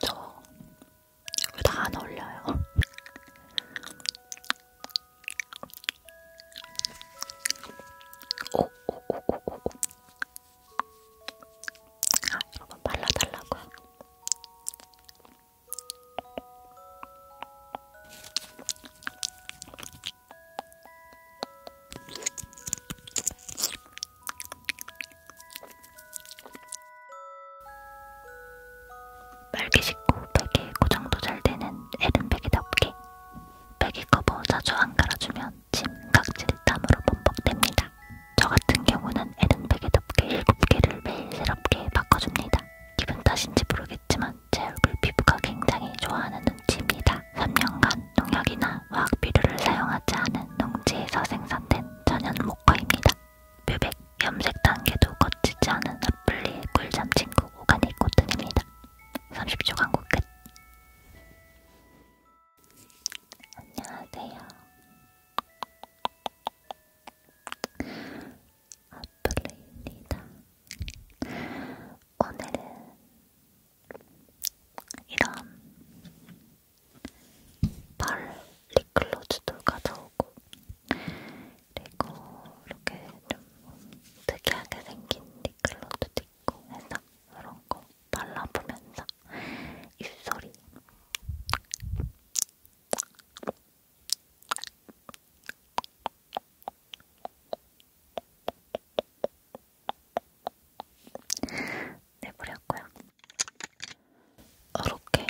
저왜다안 어울려요? 오오오오오 아, 여러분 발라달라고요? 빨개 식고 백에 고정도 잘 되는 에른백이답게 백이 커버 자주 안 갈아주면 침, 각질, 땀으로 범벅됩니다. 저 같은 경우는 에른백이답게 7개를 매일 새롭게 바꿔줍니다. 기분 탓인지 모르겠지만 제 얼굴 피부가 굉장히 좋아하는 농지입니다. 3년간 농약이나 화학비료를 사용하지 않은 농지에서 생산된 천연 목화입니다. 뮤백 염색 단계도 거치지 않은 아플리의 꿀잠 친구 오가닉 코튼입니다. 30초 광고 끝. 안녕하세요. 아플리입니다. 오늘은 이런 발 립글로즈도 가져오고 그리고 이렇게 좀 특이하게 생긴 립글로즈도 있고 해서 이런 거 발라보면서 입소리 내버렸고요. 이렇게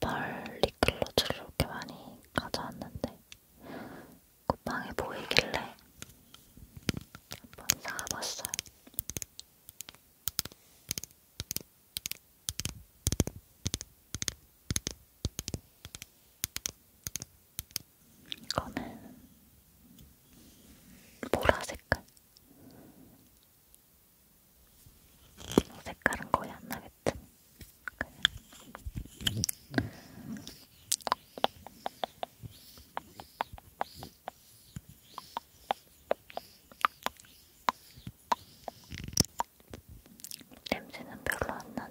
발리클로즈를 이렇게 많이 가져왔는데 쿠팡에 보이길래 한번 사봤어요. 이거는 보라 색깔. 어, 색깔은 거의 안 나겠지. 그냥. 냄새는 별로 안 나네.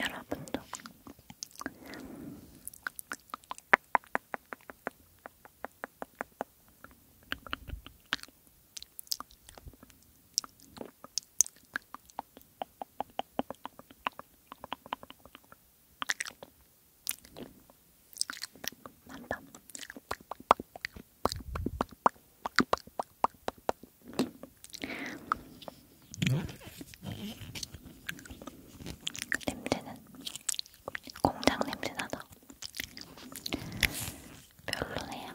여러분도 만담. 그 냄새는 공장 냄새 나서 별로네요.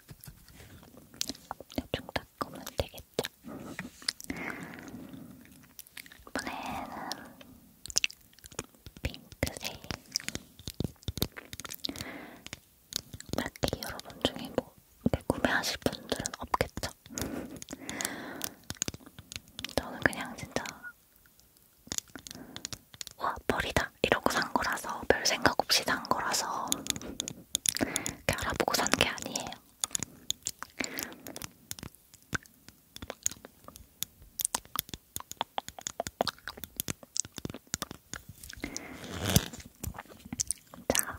대충 닦으면 되겠죠? 이번에는 핑크색 만약에 여러분 중에 뭐 구매하실 분들은 없겠죠? 저는 그냥 진짜 와, 머리다! 이러고 산 거라서 별 생각 없이 산 거라서 이렇게 알아보고 산 게 아니에요. 자.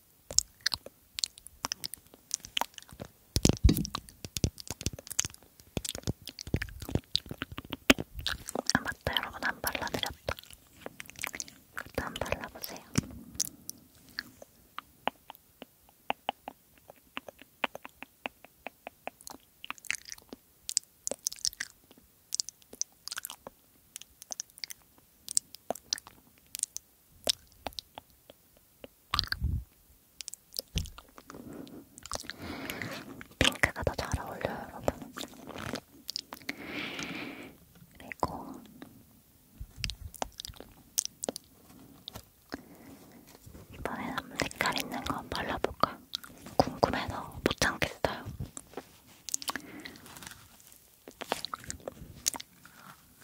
아 맞다 여러분 안 발라드렸다 그것도 안 발라보세요 핑크가 더 잘 어울려요, 여러분. 그리고 이번에는 색깔 있는 거 발라볼까? 궁금해서 못 참겠어요.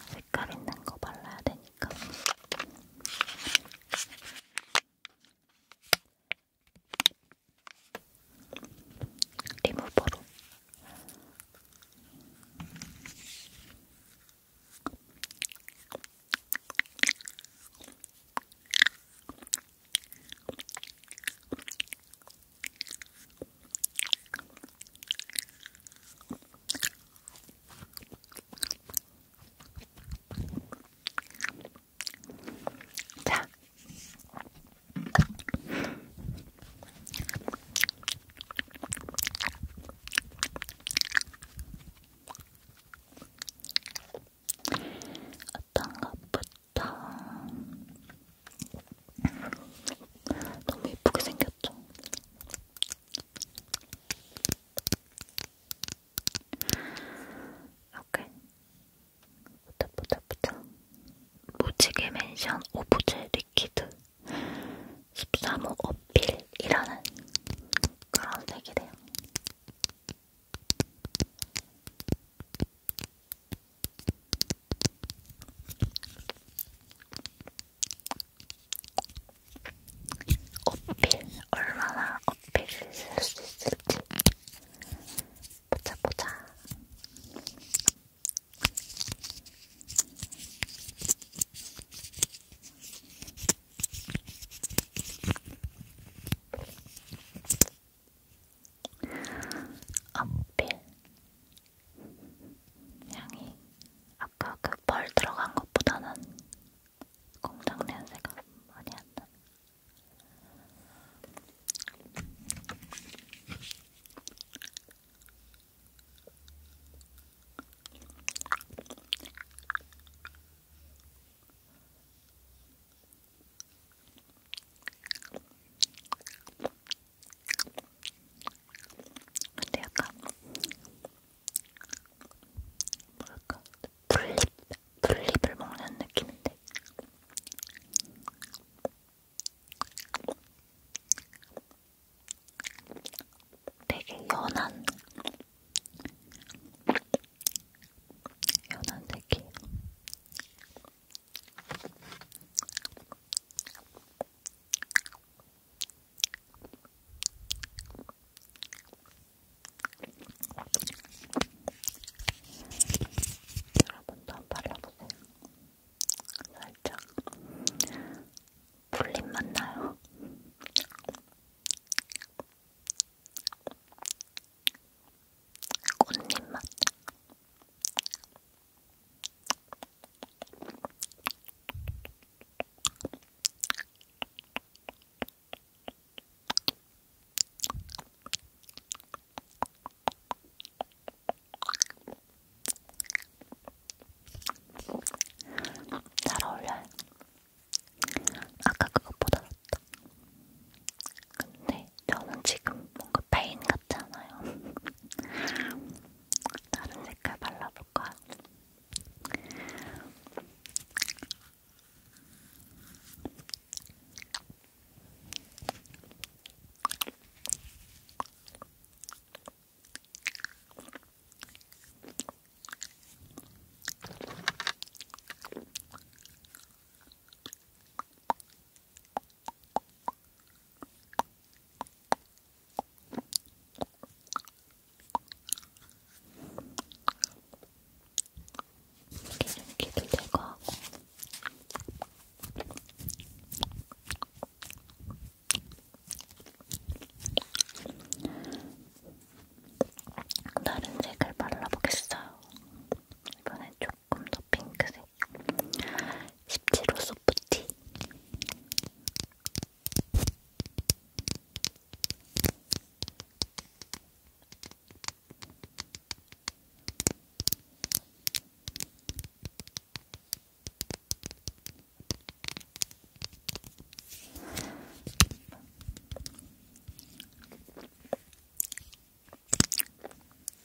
색깔 있는 거 발라야 되니까. 리무버로 자. 어떤 것부터 너무 예쁘게 생겼죠? 이렇게 보자보자보자 무지개 맨션 오브제 리퀴드 13호 어필이라는 그런 색이래요. 어필 얼마나 어필을 쓸수 있을지 보자 보자. 어필 향이 아까 그펄 들어간 것보다는 공장 냄새가 많이 안 나. 근데 약간 뭐랄까 풀잎 풀잎을 먹는 느낌인데. 되게 연한 연한 색이 여러분도 한번 발라보세요. 살짝 불림 맞나요? 꽃잎 맛. 잘 어울려요. 아까 그것보다 낫다. 근데 저는 지금 뭔가 페인 같지 않아요? 다른 색깔 발라볼 거야. 기도 제거하고 다른 색을 발라보겠어요. 이번엔 조금 더 핑크색. 17호 소프티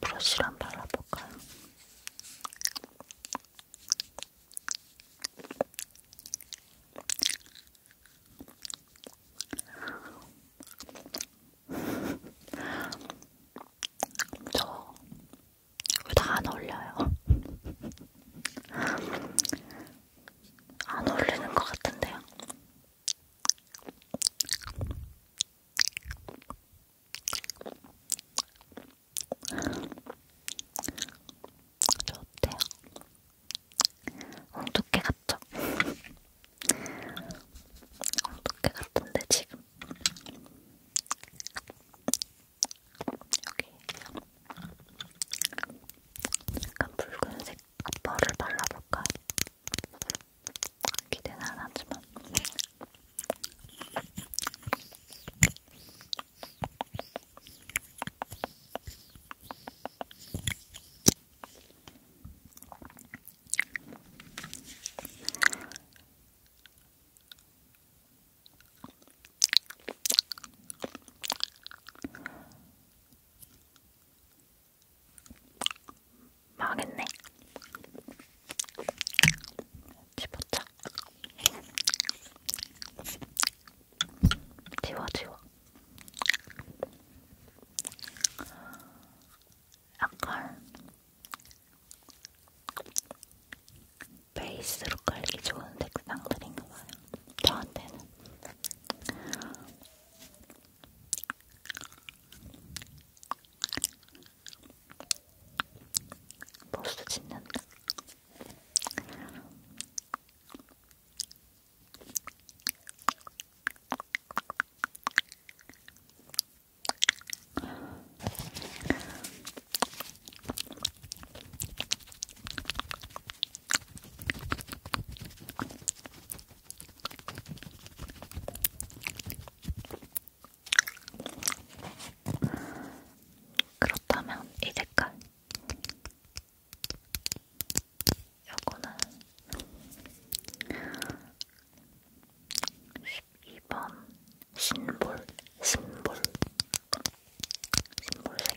브러쉬랑 발라볼까요? 저다안 어울려요. 안 어울리는 것 같은데요. 좋대요. 엉두깨 같죠? 엉두깨 같은데 지금 여기 약간 붉은색 앞머리를 발라볼까? 기대는 안 하지만. 망했네. 집었자. 지워 지워. 약간 베이스로 깔기 좋은 색상들인가봐요. 저한테는 벌써 짓는다. 그렇다면 이 색깔 요거는 12번 심볼 심볼 심볼색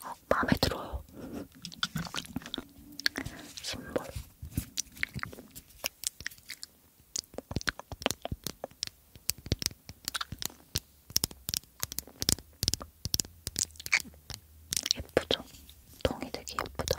어, 마음에 들어요. 신발. 예쁘죠? 동이 되게 예쁘다.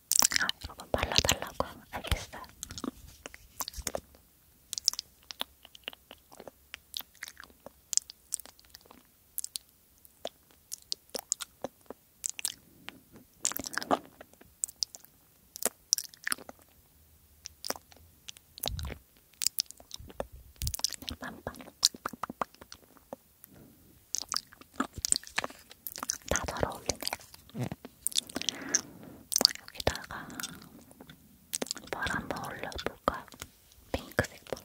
아, 여러분 발라달라고 알겠어요. 네, 다잘 어울리네. 네. 여기다가 펄 한번 올려볼까? 핑크색 펄.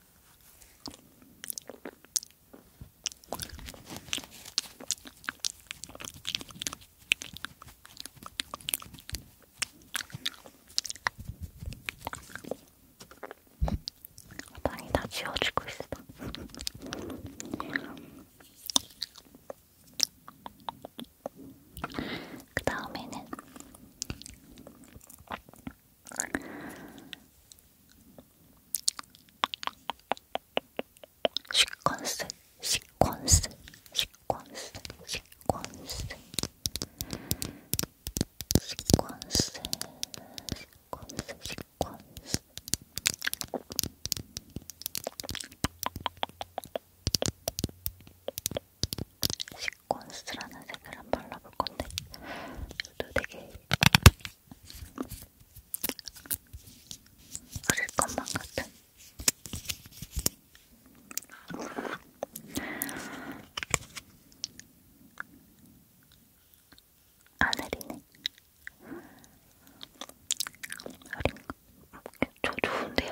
빵이 다 지워지고 있어. 그 다음에는 시퀀스 시퀀스 시퀀스 시퀀스 시퀀스 시퀀스 시퀀스 시퀀스라는 색을 한번 발라볼 건데 이것도 되게 그릴 것만 같은 아 내리네 어린가? 저 좋은데요?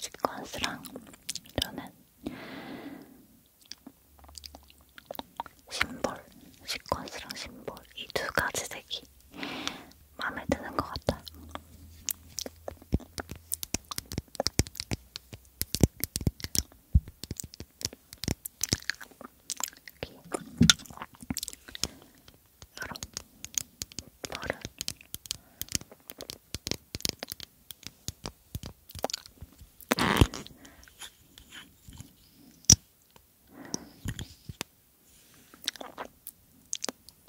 시퀀스랑 저는 심볼, 시퀀스랑 심볼 이 두 가지 색이 마음에 드는 것 같아요. 여기 여러 펄을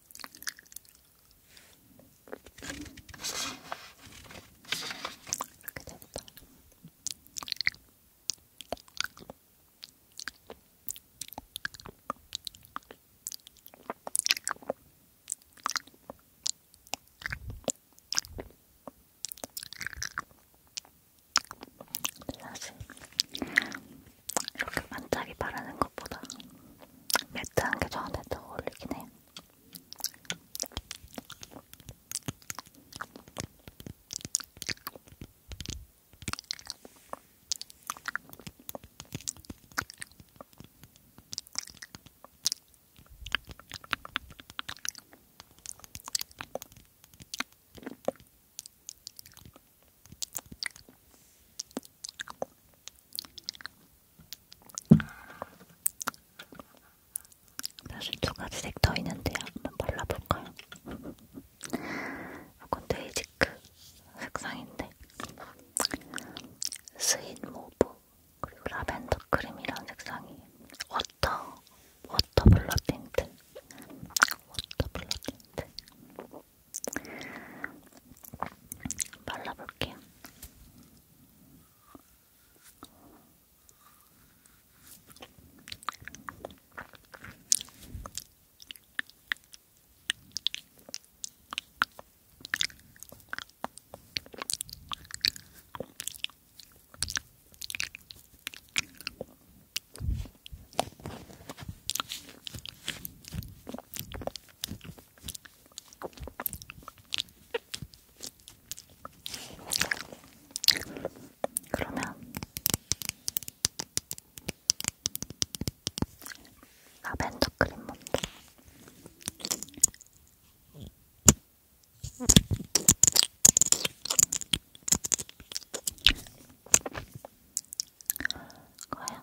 이렇게 됐다. 사실 이렇게 반짝이 바르는 것보다 매트한 게 저한테 더 어울리긴 해. 사실 두 가지 색 더 있는데 한번 발라볼까요? 이건 데이지크 색상인데 스윗 모브 그리고 라벤더 크림이라는 색상이 워터 워터 블러 틴트 워터 블러 틴트 발라볼게요. 그러면 라벤더 크림 먼저. 과연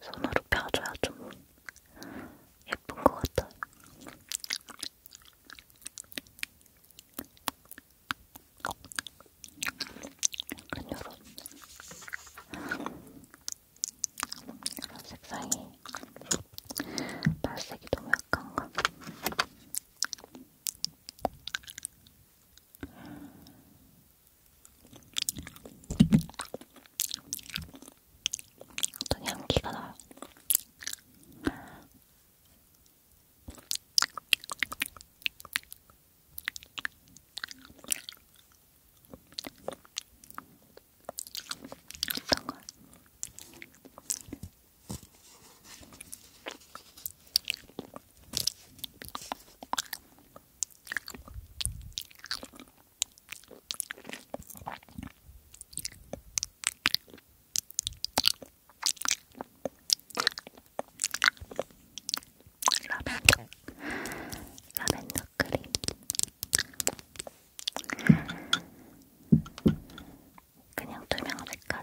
손으로 펴줘야 좀 예쁜 것 같아요. 약간 요런 색상이 발색이 너무 약한가? 어떤 향기가 나요. 어떤가? 라벤더 라벤더 선크림. 음. 그냥 투명 색깔.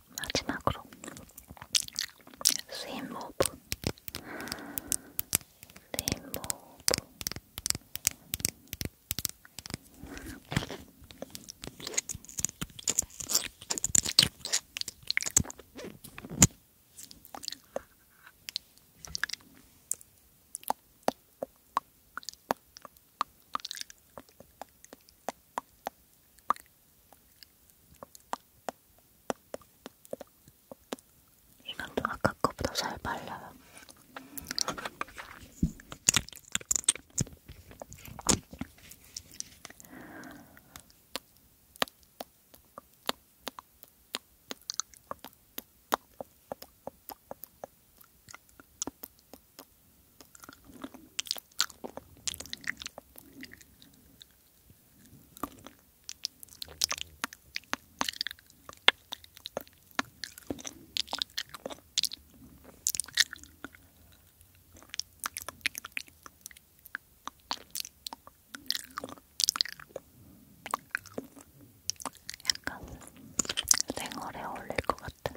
마지막으로 스윗모브 스윗모브 네, 이건 또 아까 거보다 잘 발라요. 약간 생얼에 어울릴 것 같은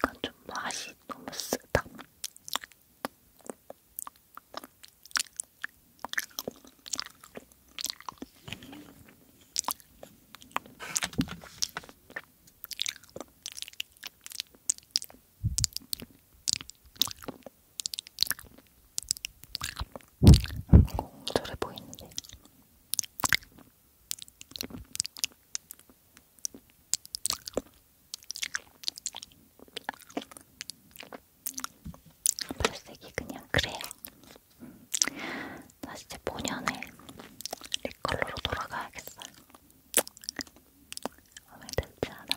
이건 좀 맛이 너무 쓰다. 공돌해 보이는데. 발색이 그냥 그래요. 나 이제 본연의 립컬러로 돌아가야겠어요. 마음에 들지 않아?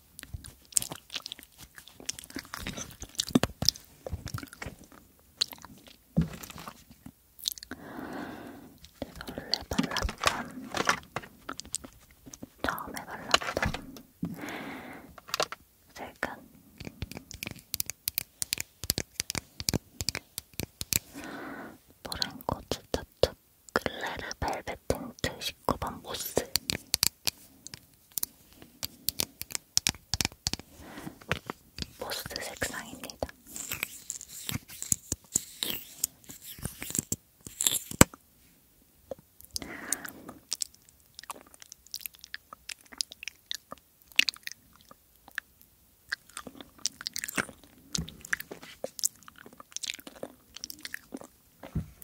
원래 발랐던 처음에 발랐던 색은 노란고추 차트 글래르 벨벳 틴트 19번 모스 포스트 색상입니다. 한번 더.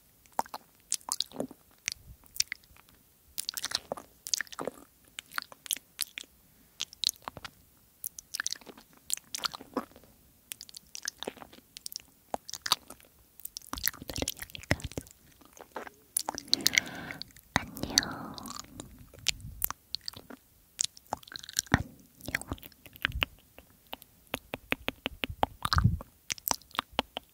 안녕. 안녕.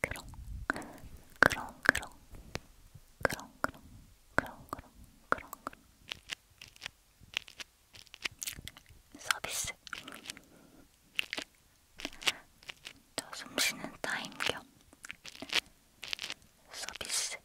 그렁 그렁 그렁 그렁 그렁 그렁 그렁 그렁 그렁 서비스 저 숨쉬는 타임 겸 서비스